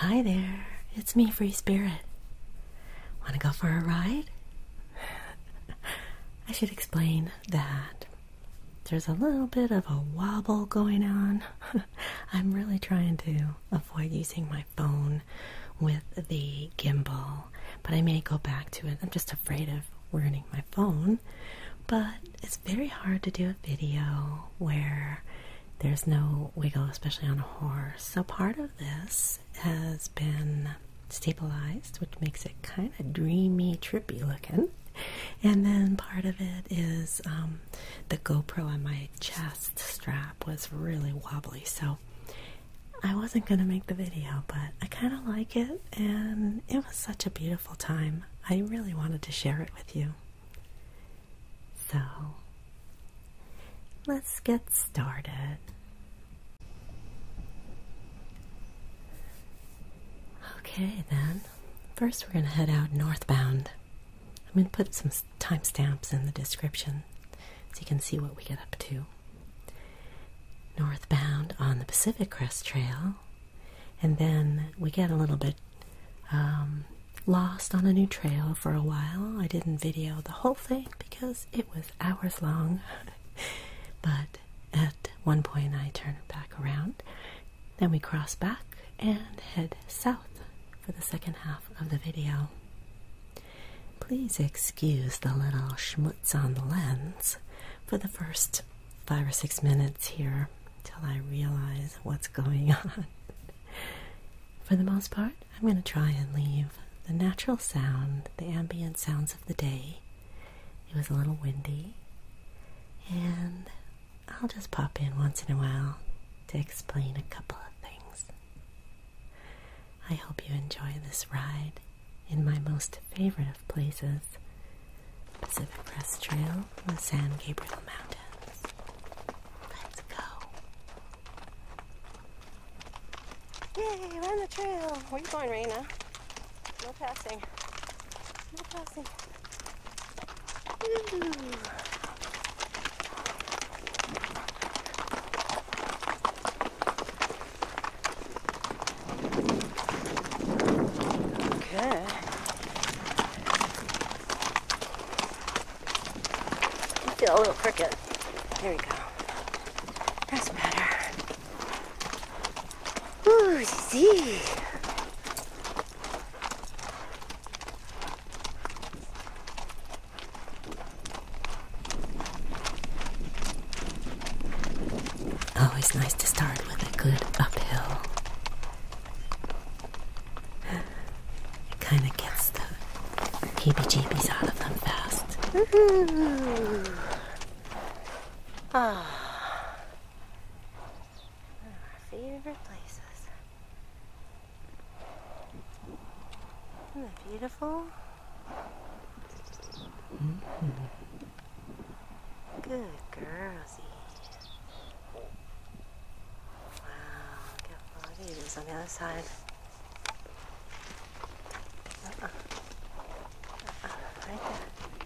Hi there, it's me, Free Spirit. Want to go for a ride? I should explain that there's a little bit of a wobble going on. I'm really trying to avoid using my phone with the gimbal, but I may go back to it. I'm just afraid of ruining my phone. But it's very hard to do a video where there's no wiggle, especially on a horse. So part of this has been stabilized, which makes it kind of dreamy, trippy looking and then part of it is um, the GoPro on my chest strap was really wobbly, so I wasn't going to make the video, but I kind of like it, and it was such a beautiful time. I really wanted to share it with you. So, let's get started. Okay, then, First, we're going to head out northbound. I'm going to put some timestamps in the description so you can see what we get up to. Northbound on the Pacific Crest Trail, and then we get a little bit um, lost on a new trail for a while. I didn't video the whole thing because it was hours long, but at one point I turned back around then we cross back and head south for the second half of the video. Please excuse the little schmutz on the lens for the first five or six minutes here till I realize what's going on. for the most part, I'm going to try and leave the natural sound, the ambient sounds of the day. It was a little windy, and I'll just pop in once in a while to explain a couple of things. I hope you enjoy this ride in my most favorite of places Pacific Crest Trail, the San Gabriel Mountains. Let's go! Yay, we're on the trail! Where you going, Raina? No passing. No passing. Okay. You feel a little crooked. There we go. That's better. Ooh, see. Always nice to start with a good uphill. It kind of gets the heebie jeebies out of them fast. Ah. One of our favorite places. Isn't that beautiful? Good girls. Wow, look how full of it is on the other side. Uh-uh. Uh-uh. right there.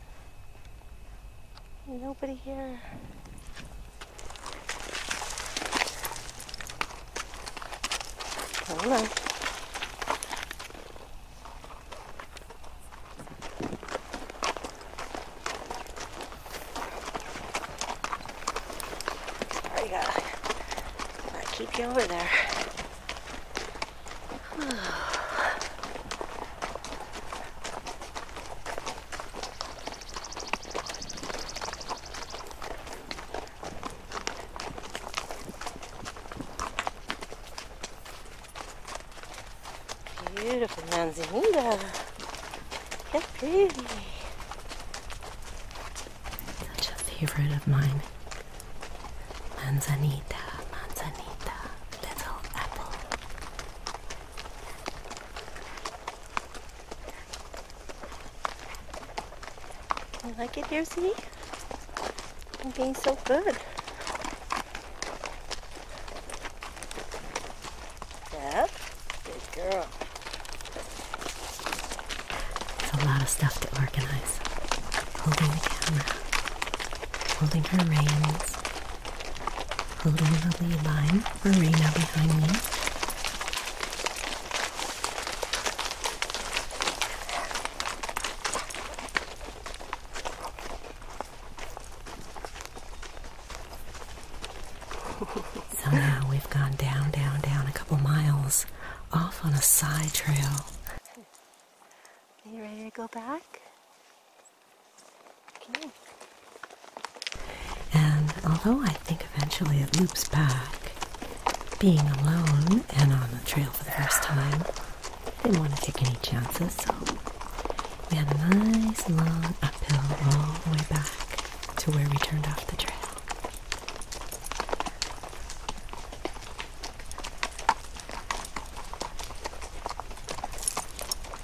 Nobody here. Hold on. There you go. That keep you over there. Beautiful manzanita. How pretty. Such a favorite of mine. Manzanita, manzanita, little apple. You like it here, see? I'm being so good. Yep, good girl. It's a lot of stuff to organize. Holding the camera, holding her reins, a little lily lime arena behind me. so we've gone down, down, down a couple miles off on a side trail. Are you ready to go back? And although I think eventually it loops back, being alone and on the trail for the first time, I didn't want to take any chances, so we had a nice long uphill all the way back to where we turned off the trail.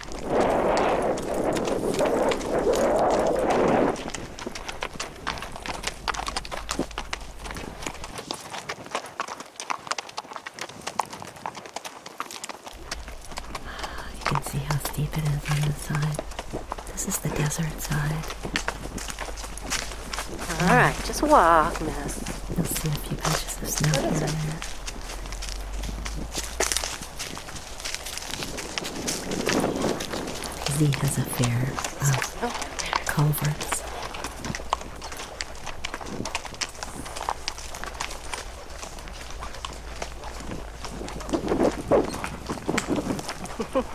You can see how steep it is on this side. This is the desert side. All right, just walk, miss. You'll see a few patches of snow here there. Z has a fear of uh, culverts.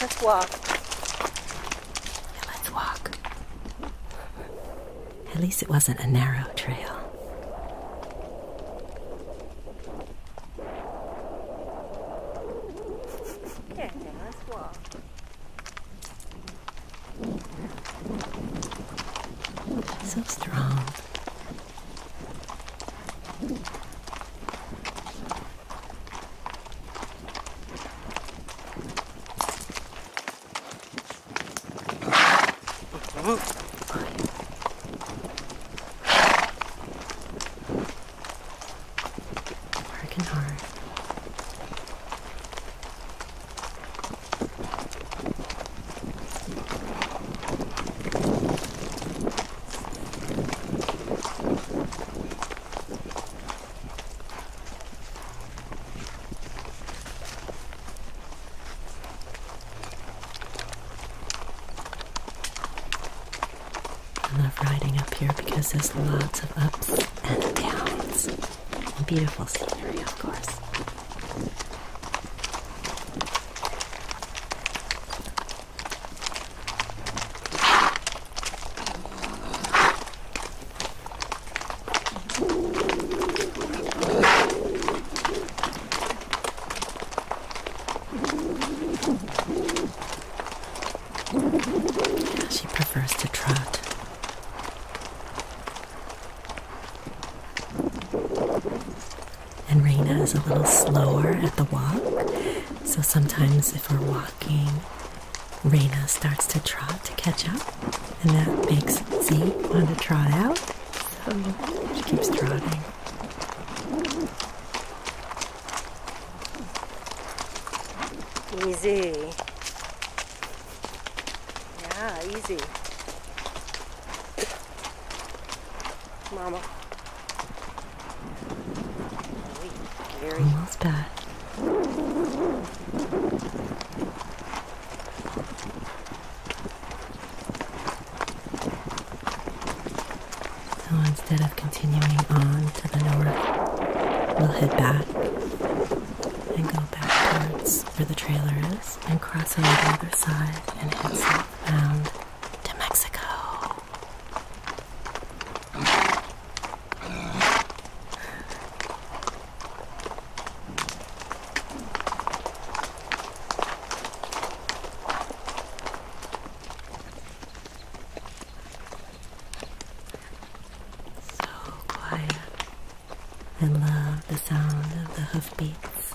Let's walk. let's walk. At least it wasn't a narrow trail. let's walk. So strong. Working hard. I love riding up here because there's lots of ups and downs. Beautiful scenery, of course. She prefers to trot and Raina is a little slower at the walk. So sometimes if we're walking, Raina starts to trot to catch up, and that makes Zeke want to trot out. So she keeps trotting. Easy. Yeah, easy. Mama. Almost died. So instead of continuing on to the north, we'll head back and go back towards where the trailer is and cross on the other side and head south. Um, to Mexico. So quiet. I love the sound of the hoofbeats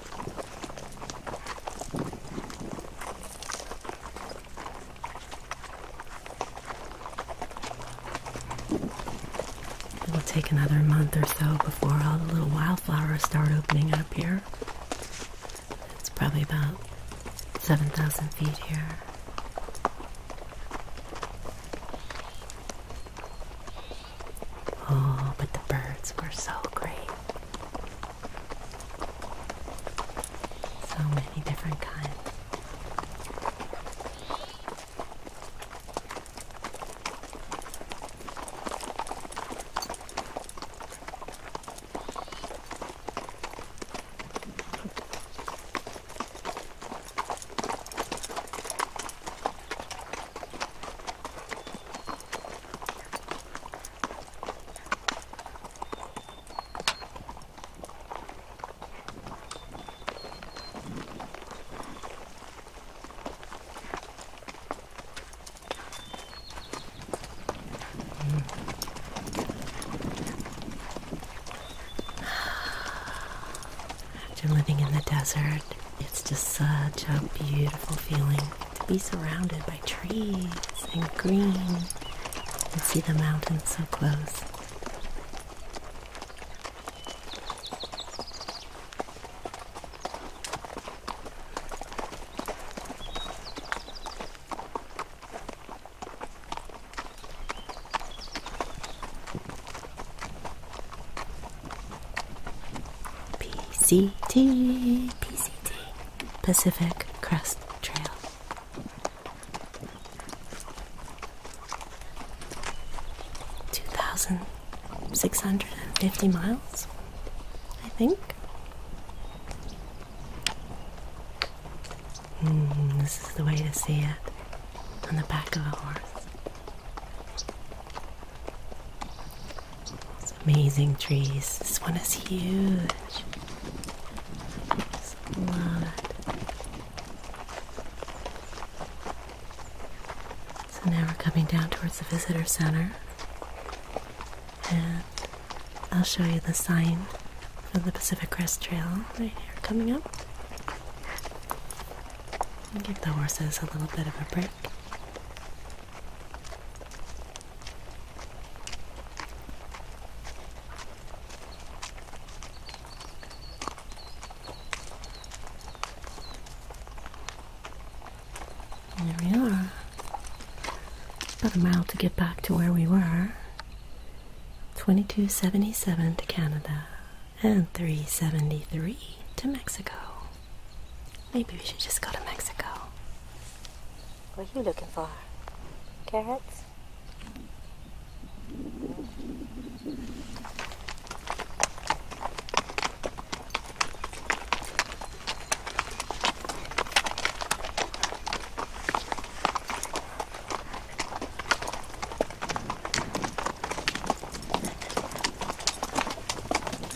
It will take another month or so before all the little wildflowers start opening up here. It's probably about 7,000 feet here. Oh, but the birds were so great. So many different kinds. After living in the desert, it's just such a beautiful feeling to be surrounded by trees and green and see the mountains so close. PCT, Pacific Crest Trail. Two thousand six hundred and fifty miles, I think. Hmm, this is the way to see it on the back of a horse amazing trees. This one is huge. So now we're coming down towards the visitor center, and I'll show you the sign for the Pacific Crest Trail right here coming up. Give the horses a little bit of a break. There we are. about a mile to get back to where we were. 2277 to Canada and 373 to Mexico. Maybe we should just go to Mexico. What are you looking for? Carrots?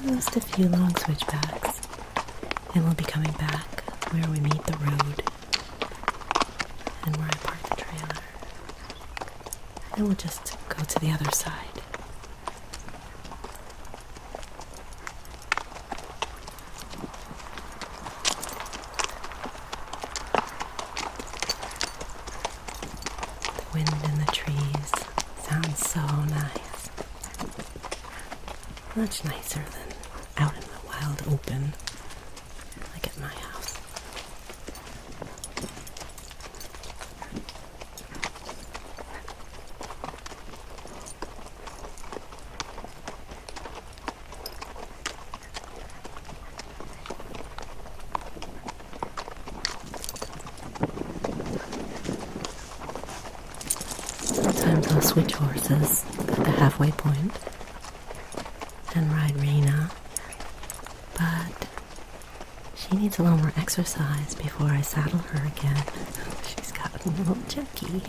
Just a few long switchbacks, and we'll be coming back where we meet the road and where I park the trailer. then we'll just go to the other side. The wind in the trees sounds so nice. Much nicer than out in the wild open, like at my house. Sometimes I'll switch horses at the halfway point and ride Rena, but she needs a little more exercise before I saddle her again. She's gotten a little jerky.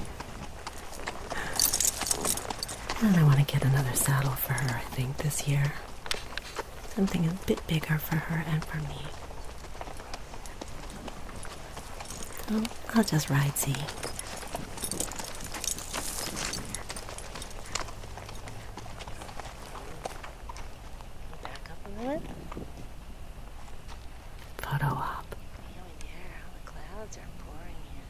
And I want to get another saddle for her, I think, this year something a bit bigger for her and for me. I'll just ride Z. Back up a little. Photo op. Feel the air, how the clouds are pouring in.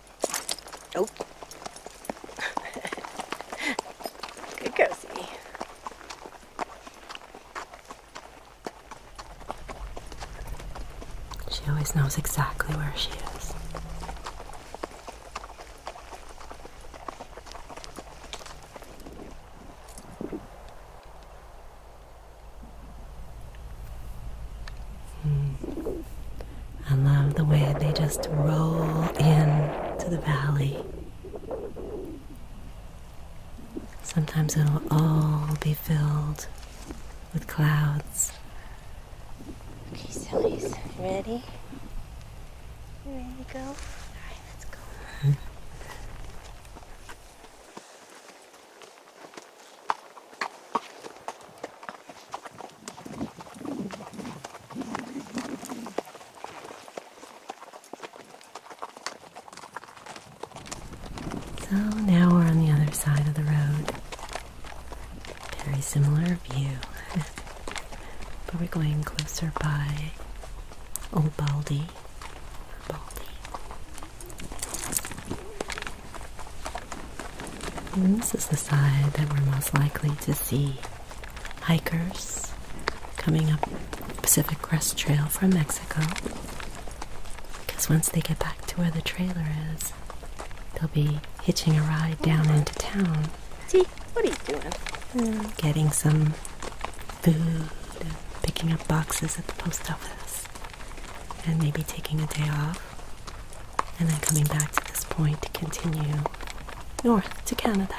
Nope. Good cozy. She always knows exactly where she is. Mm. I love the way they just roll in to the valley. Sometimes it'll all be filled with clouds. Okay, sillies, you ready? You ready to go? Alright, let's go. So now we're on the other side of the road. Very similar view, but we're going closer by Old Baldy. this is the side that we're most likely to see hikers coming up Pacific Crest Trail from Mexico. Because once they get back to where the trailer is, they'll be hitching a ride down into town. See, what are you doing? Hmm. Getting some food, picking up boxes at the post office, and maybe taking a day off and then coming back to this point to continue north to Canada.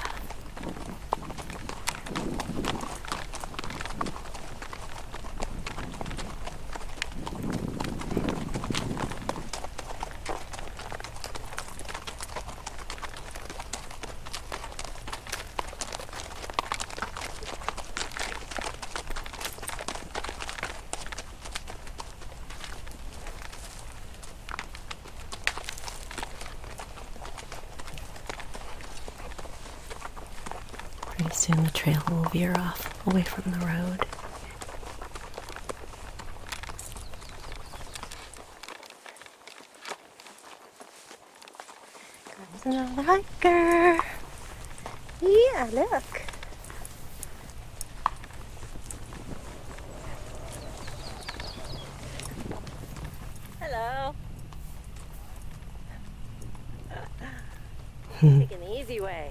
Pretty soon the trail will veer off away from the road. Comes another hiker. Yeah, look. Hello. Hmm. Take an easy way.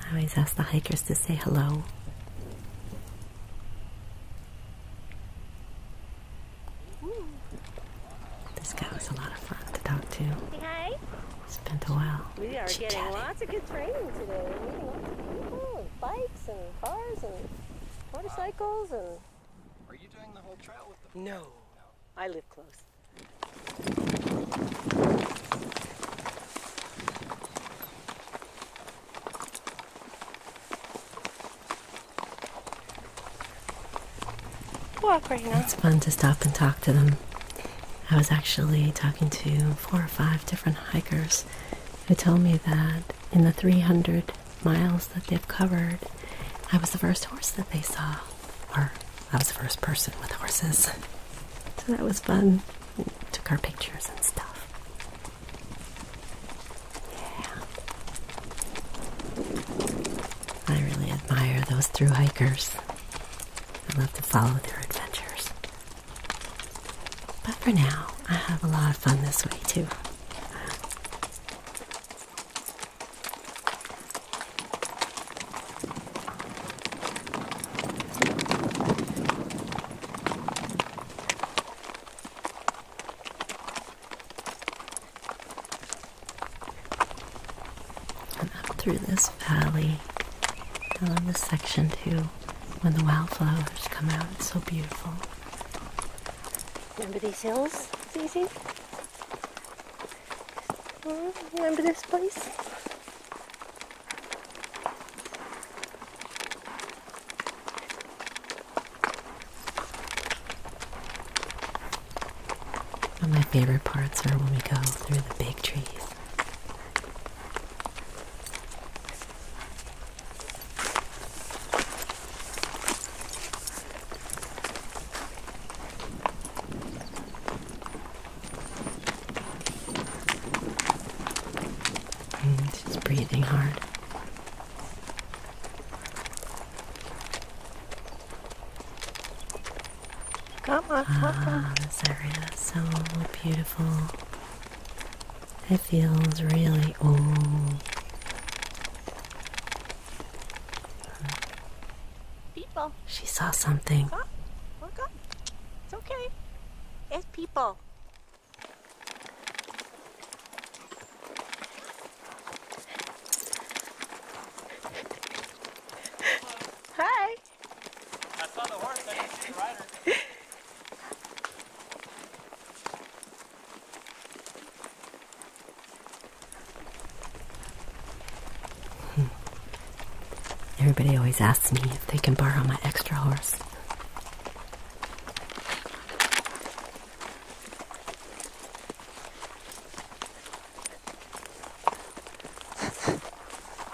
I always ask the hikers to say hello. This guy was a lot of fun to talk to. Hey. It's been a while. We are getting lots of good training today. We're meeting lots of people and bikes and cars and motorcycles and. Are you doing the whole trail with them? No. no. I live close. Walk right now. It's fun to stop and talk to them. I was actually talking to four or five different hikers who told me that in the 300 miles that they've covered, I was the first horse that they saw, or I was the first person with horses. So that was fun. took our pictures and stuff. Yeah. I really admire those thru hikers. I love to follow their adventures. But for now, I have a lot of fun this way too. And up through this valley. I this section too when the wildflowers come out. It's so beautiful. Remember these hills, Zizi? Hmm, remember this place? One of my favorite parts are when we go through the big trees. And mm, she's breathing hard. Come on, come this area is so beautiful. It feels really old. People. She saw something. It's okay. It's people. Hi. Hmm. Everybody always asks me if they can borrow my extra horse.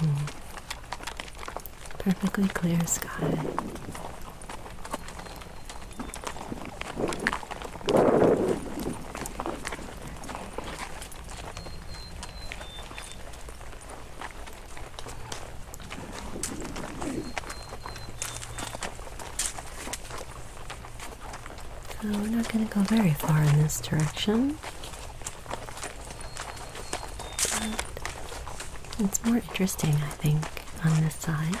Mm. Perfectly clear sky. So we're not going to go very far in this direction. But it's more interesting, I think, on this side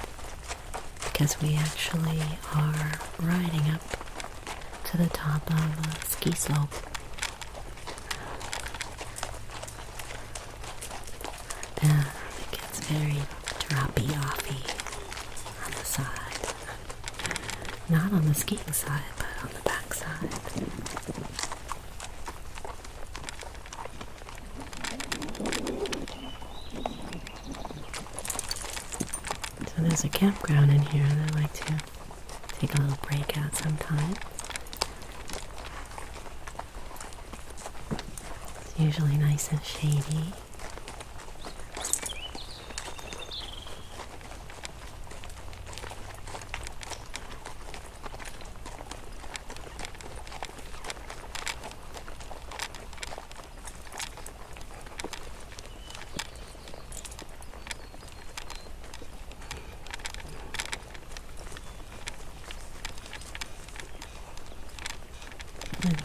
because we actually are riding up to the top of a ski slope. Uh, it gets very droppy offy on the side. Not on the skiing side, but on the back side. So there's a campground in here, and I like to take a little break out sometimes. It's usually nice and shady.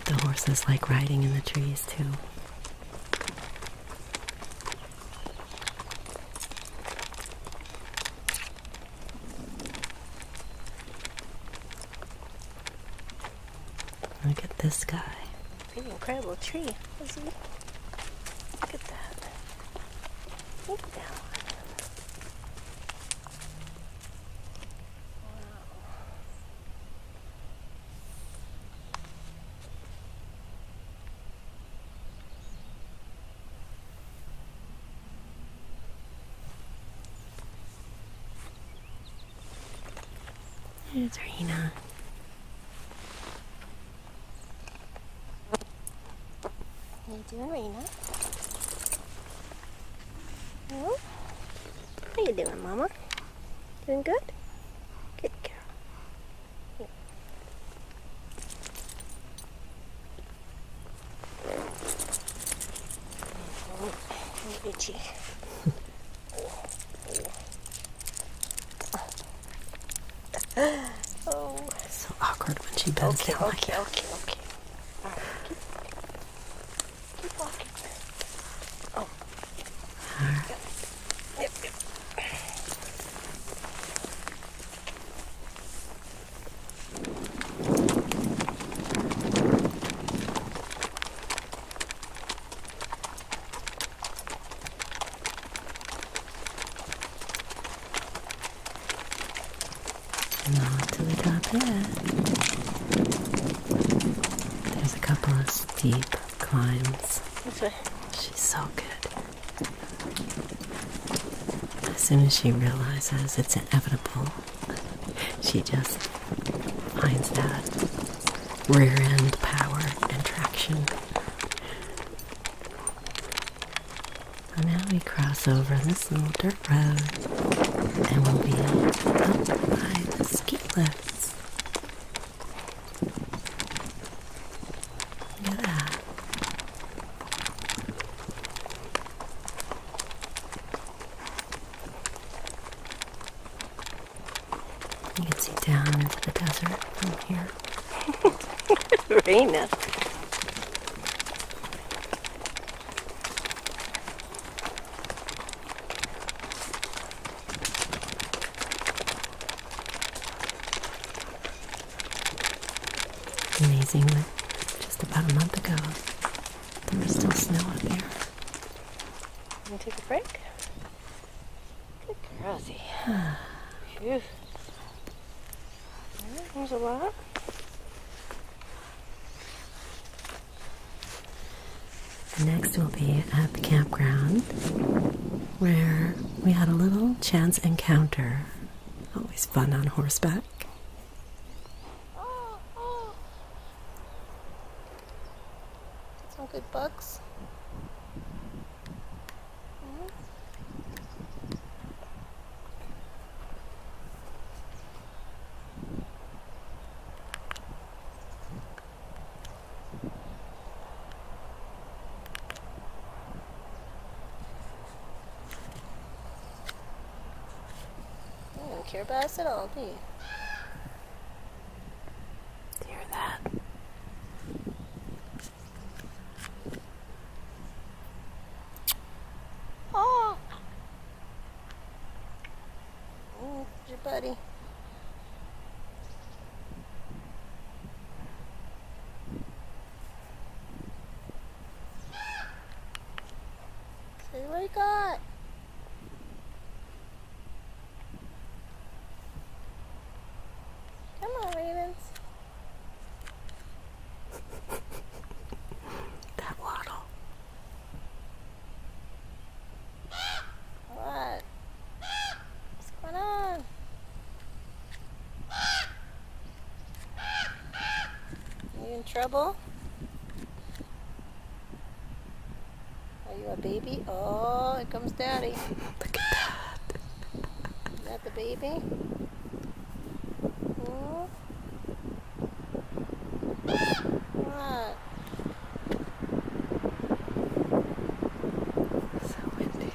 The horses like riding in the trees too. Look at this guy. Pretty incredible tree, Look at that. Look at that one. Wow. It's Raina. How you doing, Reina? Well, how you doing, Mama? Doing good? Good girl. Your cheek. oh. So awkward when she bends okay, down. Okay, like okay, okay, okay. Right. Keep, keep walking. Oh. All right. Yep, yep. Not to the top yet. There's a couple of steep climbs. She's so good. As soon as she realizes it's inevitable, she just finds that rear end power and traction. And now we cross over this little dirt road and we'll be up by the ski lifts. Yeah. You can see down into the desert from here. Raina. It's amazing that just about a month ago there was still snow up here. Can you take a break? Good girl, Z. Phew. There's a lot. Next, we'll be at the campground where we had a little chance encounter. Always fun on horseback. Oh, oh. Some good bugs. You don't care about us at all, do you? hear that? Oh! Oh, your buddy. Okay, what do got? Come on, Ravens. That waddle. What? What's going on? You in trouble? Are you a baby? Oh, here comes daddy. Look at that. Is that the baby? Hmm? What? So windy.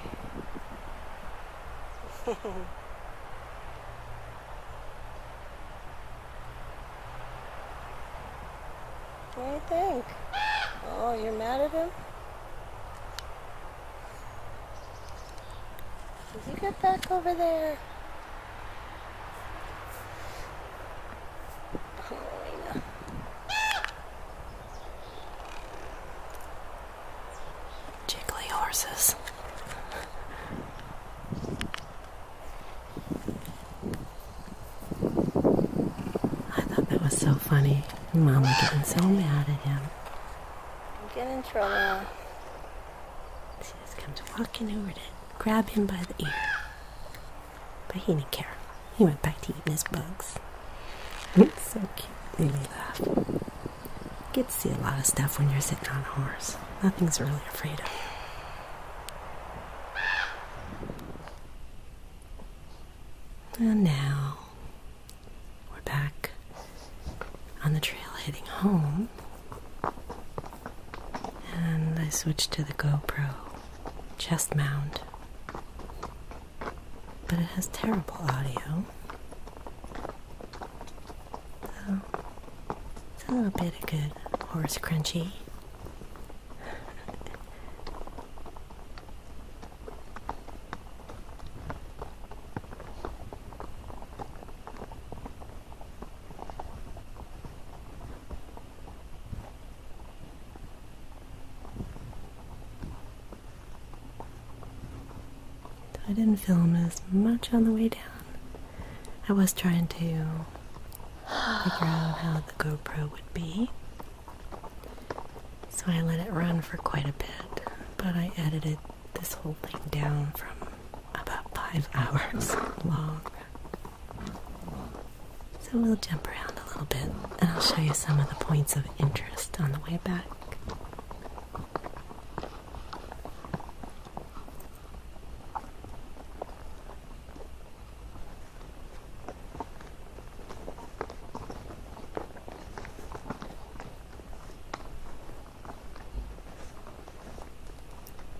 what do you think? Oh, you're mad at him? Did you get back over there? Oh, know. Jiggly horses. I thought that was so funny. Mama getting so mad at him. Get in trouble. She just comes walking over to grab him by the ear. But he didn't care. He went back to eating his bugs. It's mm-hmm. so cute. Made me laugh. get to see a lot of stuff when you're sitting on a horse. Nothing's really afraid of you. And now we're back on the trail heading home. And I switched to the GoPro chest mound. But it has terrible audio. So, it's a little bit of good horse crunchy. I didn't film as much on the way down. I was trying to figure out how the GoPro would be. So I let it run for quite a bit, but I edited this whole thing down from about five hours long. So we'll jump around a little bit and I'll show you some of the points of interest on the way back.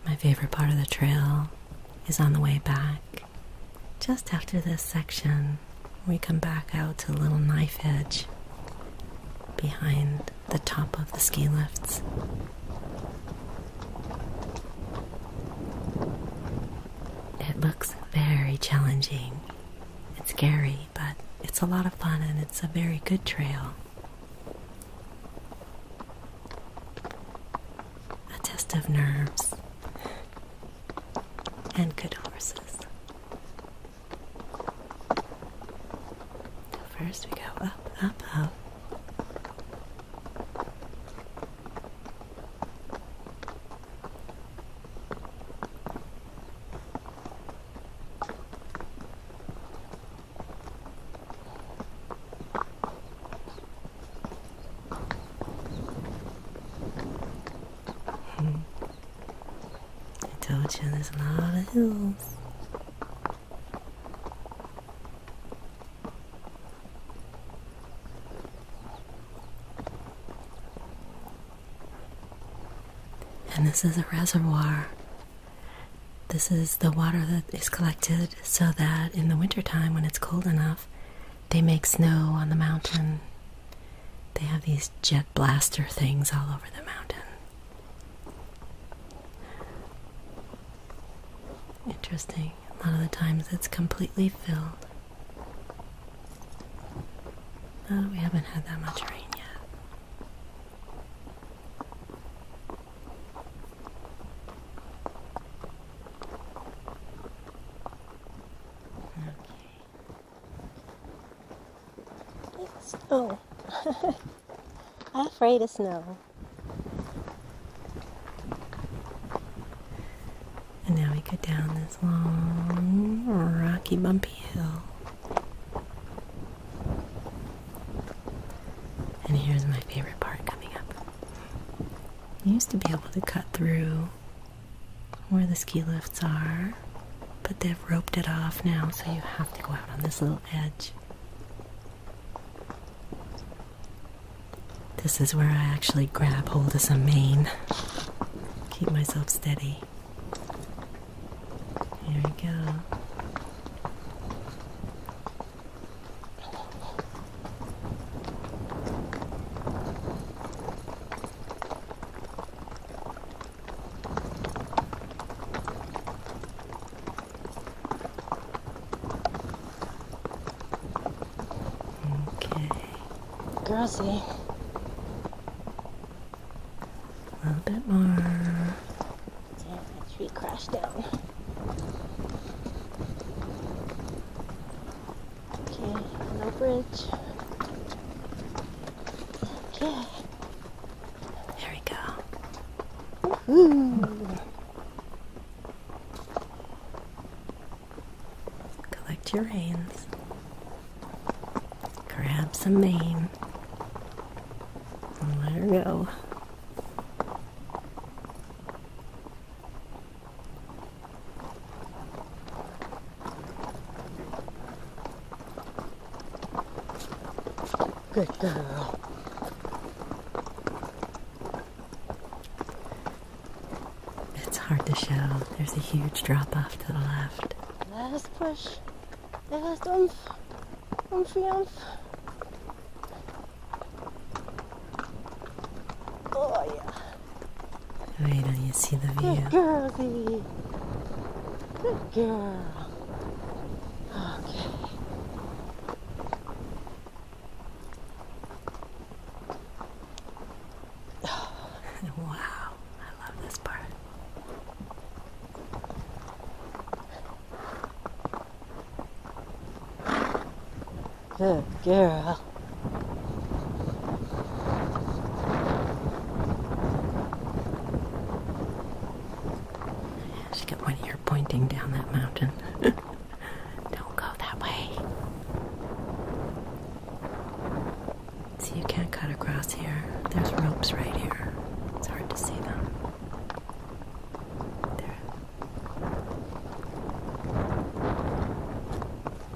My favorite part of the trail is on the way back just after this section, we come back out to Little Knife Edge behind the top of the ski lifts. It looks very challenging. It's scary, but it's a lot of fun and it's a very good trail a test of nerves and good horses. First, we go up, up, up. Hmm. I told you there's a lot of hills. And this is a reservoir. This is the water that is collected so that in the wintertime, when it's cold enough, they make snow on the mountain. They have these jet blaster things all over the mountain. Interesting. A lot of the times it's completely filled. Oh, we haven't had that much rain yet. Oh, I'm afraid of snow. And now we go down this long, rocky, bumpy hill. And here's my favorite part coming up. used to be able to cut through where the ski lifts are, but they've roped it off now, so you have to go out on this little edge. This is where I actually grab hold of some mane, keep myself steady. Here we go. Okay. Grassy. A little bit more. Damn, tree crashed down. Okay, no bridge. Okay. There we go. Collect your reins. Grab some mane. let her go. Good girl. It's hard to show. There's a huge drop off to the left. Last push. Last umph. Umphy umph. Oh, yeah. Wait Don't you see the view. Good girl, Good girl. Okay. wow, I love this part. Good girl. She's got one ear pointing down that mountain. Don't go that way. See, you can't cut across here. There's ropes right here. It's hard to see them. There.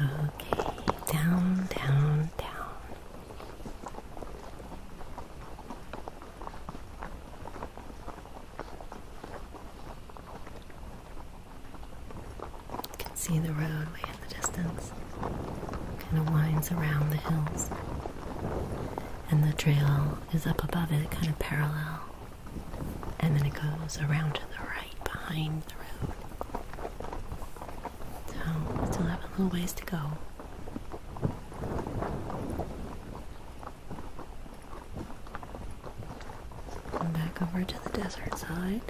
Okay, down, down, down. You can see the road way in the distance. Kind of winds around the hills. And the trail is up above it, kind of parallel and then it goes around to the right behind the road. So still have a little ways to go. And back over to the desert side.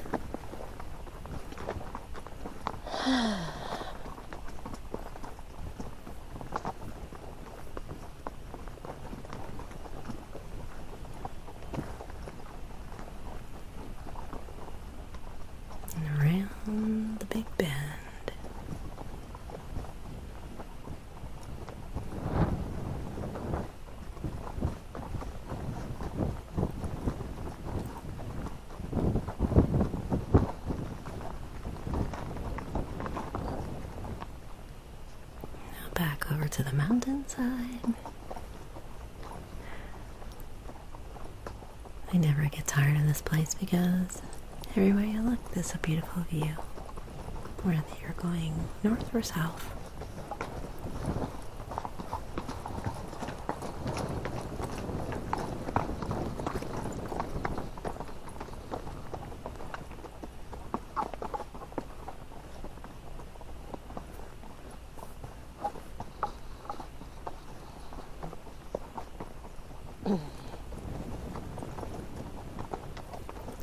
And around the big bend. Now back over to the mountainside. I never get tired of this place because everywhere you look, there's a beautiful view, whether you're going north or south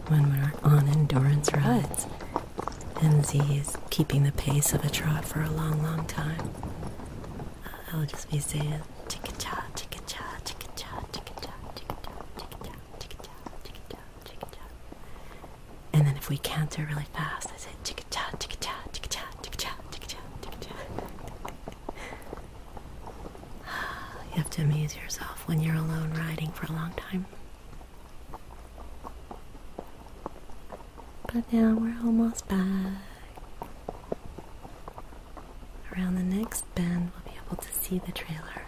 when we on endurance rides. MZ is keeping the pace of a trot for a long, long time. I'll just be saying, chicka cha, chicka cha, chicka cha, chicka cha, chicka cha, chicka cha. And then if we can really fast, I say chicka chow, chicka chicka chicka chicka chicka you have to amuse yourself when you're alone riding for a long time. But now we're almost back. Around the next bend, we'll be able to see the trailer.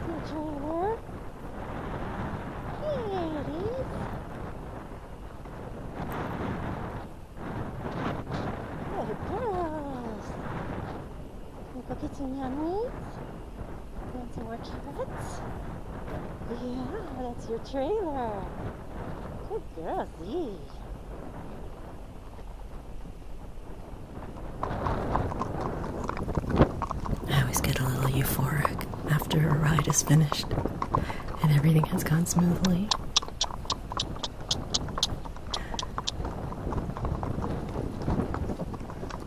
The trailer. Here it is. There it Look at some Going to more carrots? Yeah, that's your trailer. Good girl, Z. I always get a little euphoric after a ride is finished and everything has gone smoothly. Okay.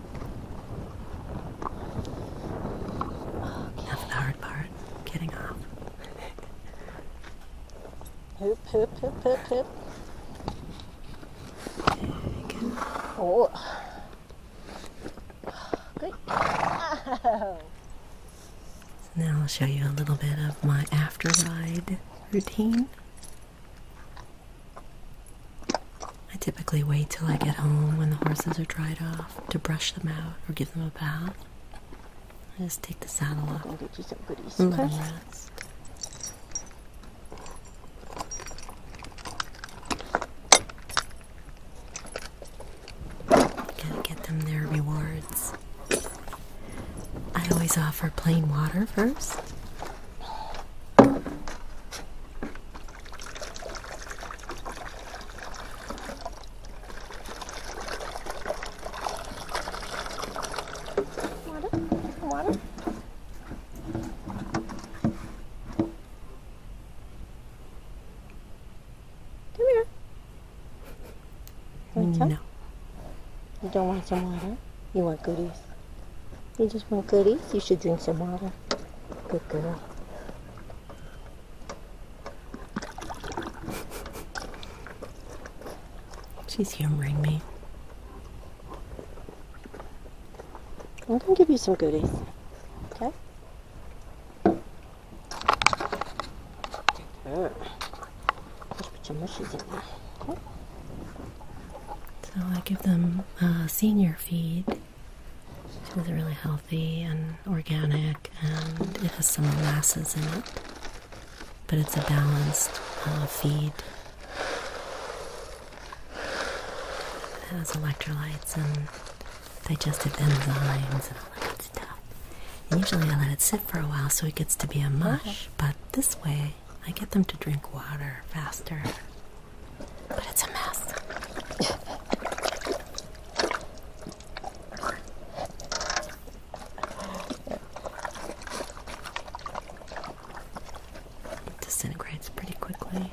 That's the hard part, getting off. hip, hip, hip, hip, hip. Oh. Great. Now I'll show you a little bit of my after ride routine. I typically wait till I get home when the horses are dried off to brush them out or give them a bath. I just take the saddle off and let them rest. Gotta get them their rewards. I always offer plain water first. Water. Water. No. You don't want some water? You want goodies? You just want goodies? You should drink some water. Good girl. She's humoring me. I'm going to give you some goodies. Okay? So I give them a senior feed it's really healthy and organic, and it has some molasses in it, but it's a balanced uh, feed. It has electrolytes and digestive enzymes and all that stuff. usually I let it sit for a while so it gets to be a mush, uh-huh. but this way I get them to drink water faster. But it's a mess. It disintegrates pretty quickly.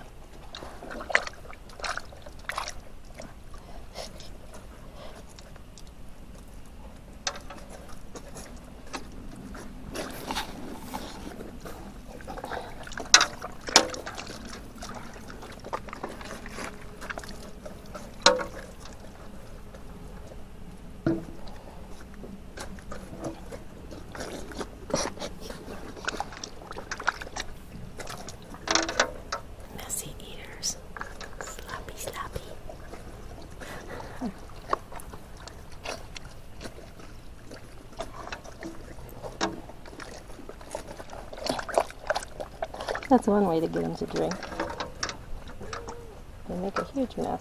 Messy eaters, sloppy, sloppy. That's one way to get them to drink. They make a huge mess.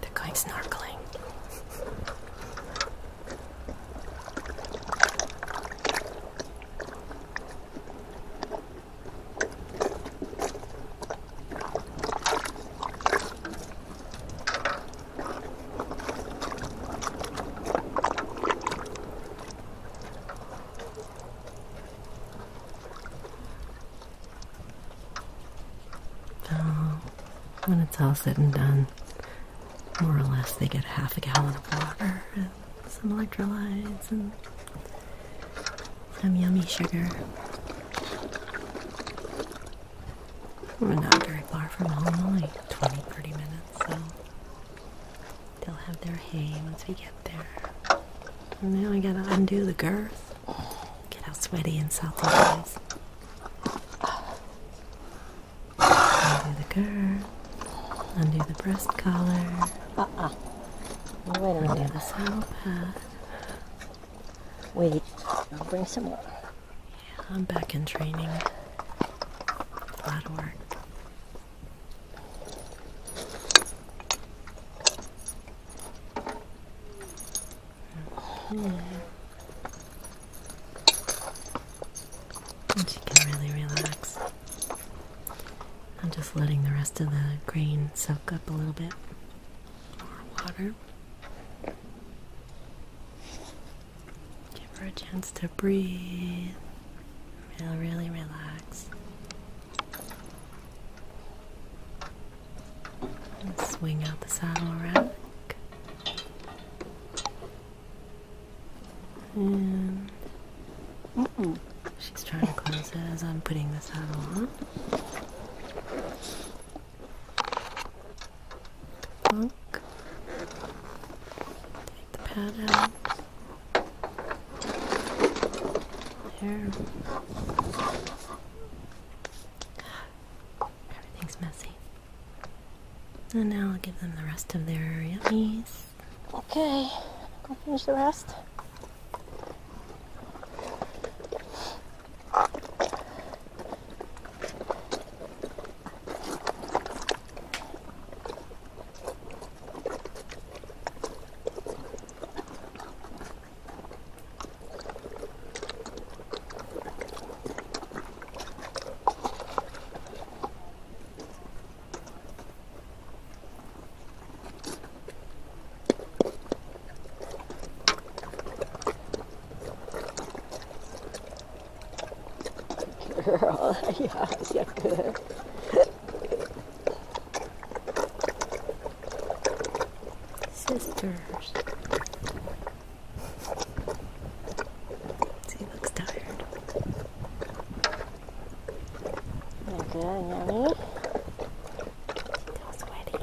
They're going snorkeling. Oh, when it's all said and done, more or less they get half a gallon of water and some electrolytes and some yummy sugar. We're not very far from home, like 20 30 minutes, so they'll have their hay once we get there. And now I gotta undo the girth. Get how sweaty and salty it is. Undo the girth, undo the breast collar, uh -uh. Wait the saddle pad. Wait, I'll bring some more. Yeah, I'm back in training. A work. Mm-hmm. And she can really relax. I'm just letting the rest of the grain soak up a little bit more water. Give her a chance to breathe. Really, really relax. swing out the saddle rack she's trying to close it as I'm putting this out on. Plunk. Take the pad out. There. Everything's messy. And now I'll give them the rest of their yummies. Okay, I'll finish the rest. Girl, yes, you good. Sisters. See, he looks tired. good, yummy. Still sweaty.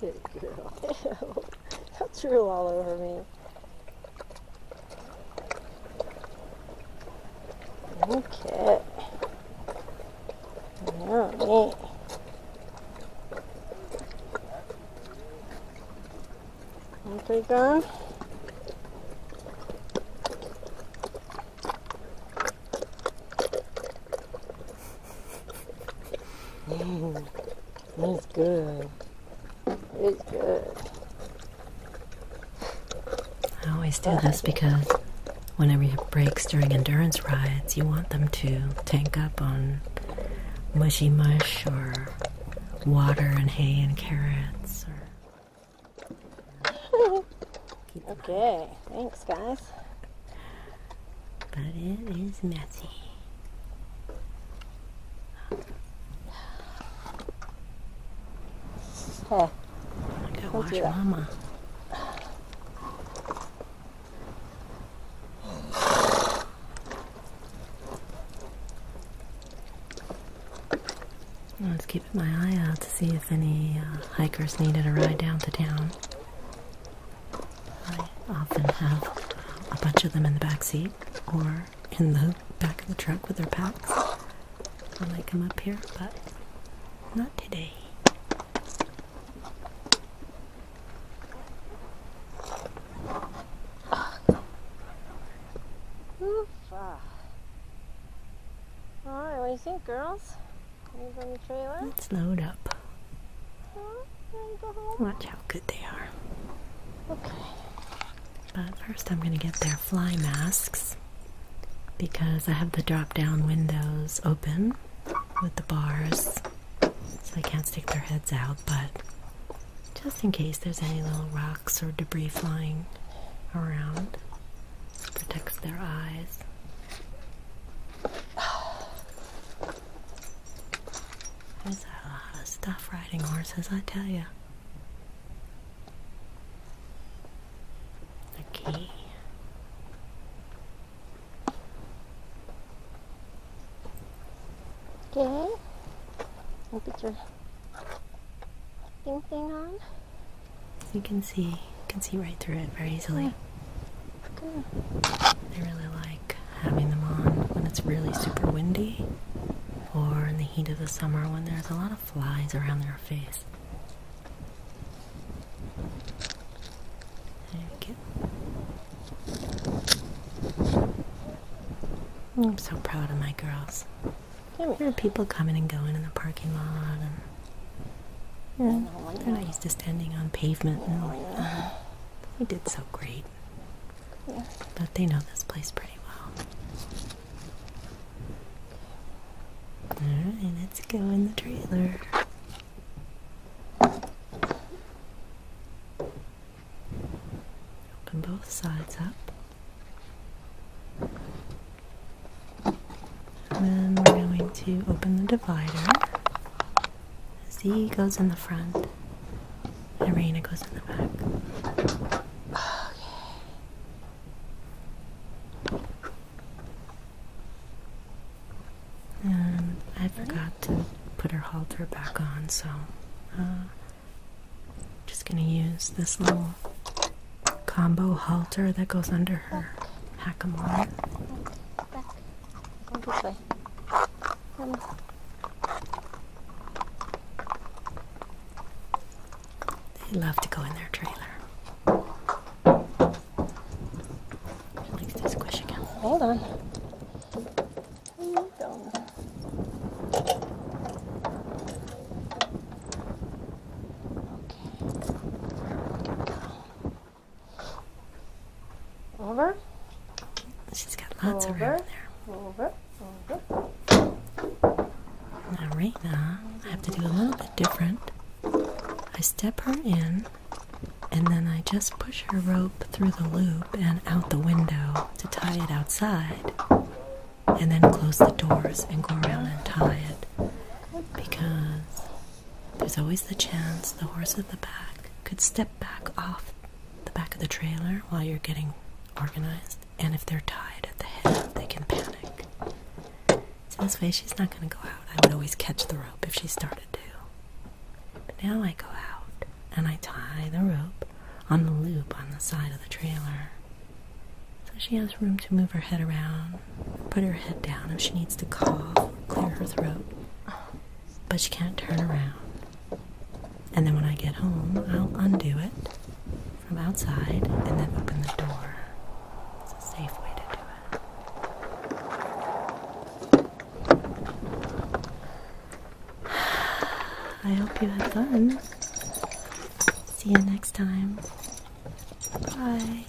Good girl. That's real all over me. Okay. All right. Okay, guys. That's good is good. I always do this because whenever you have breaks during endurance rides, you want them to tank up on mushy mush or water and hay and carrots. okay, thanks, guys. But it is messy. Huh. I got mama. I was keeping my eye out to see if any uh, hikers needed a ride down to town. I often have a bunch of them in the back seat, or in the back of the truck with their packs when might come up here, but not today. Ah. Alright, what do you think, girls? Let's load up. Watch how good they are. Okay. But first, I'm going to get their fly masks because I have the drop down windows open with the bars so they can't stick their heads out. But just in case there's any little rocks or debris flying around, protects their eyes. There's a lot of stuff riding horses, I tell you. Okay. Okay. And put your thing thing on. You can see, you can see right through it very easily. I really like having them on when it's really super windy, or in the heat of the summer when there's a lot of flies around their face. I'm so proud of my girls. There are people coming and going in the parking lot, and yeah, they're not used to standing on pavement. they did so great, but they know this place pretty well. Alright, let's go in the trailer. Open both sides up. then we're going to open the divider. Z goes in the front, and Reina goes in the back. Okay. I forgot to put her halter back on, so uh, just gonna use this little combo halter that goes under her on. They love to go in their trailer. She likes squish again. Hold on. Okay. Over. She's got lots of room there. Over. Alright, Now I have to do a little bit different. I step her in and then I just push her rope through the loop and out the window to tie it outside. And then close the doors and go around and tie it. Because there's always the chance the horse at the back could step back off the back of the trailer while you're getting organized and if they're tied at the head, they can panic. So this way, she's not going to go out. I would always catch the rope if she started to. But now I go out and I tie the rope on the loop on the side of the trailer. So she has room to move her head around, put her head down if she needs to cough, clear her throat. But she can't turn around. And then when I get home, I'll undo it from outside and then open the door. It's a safe way to do it. I hope you had fun. See you next time. Bye.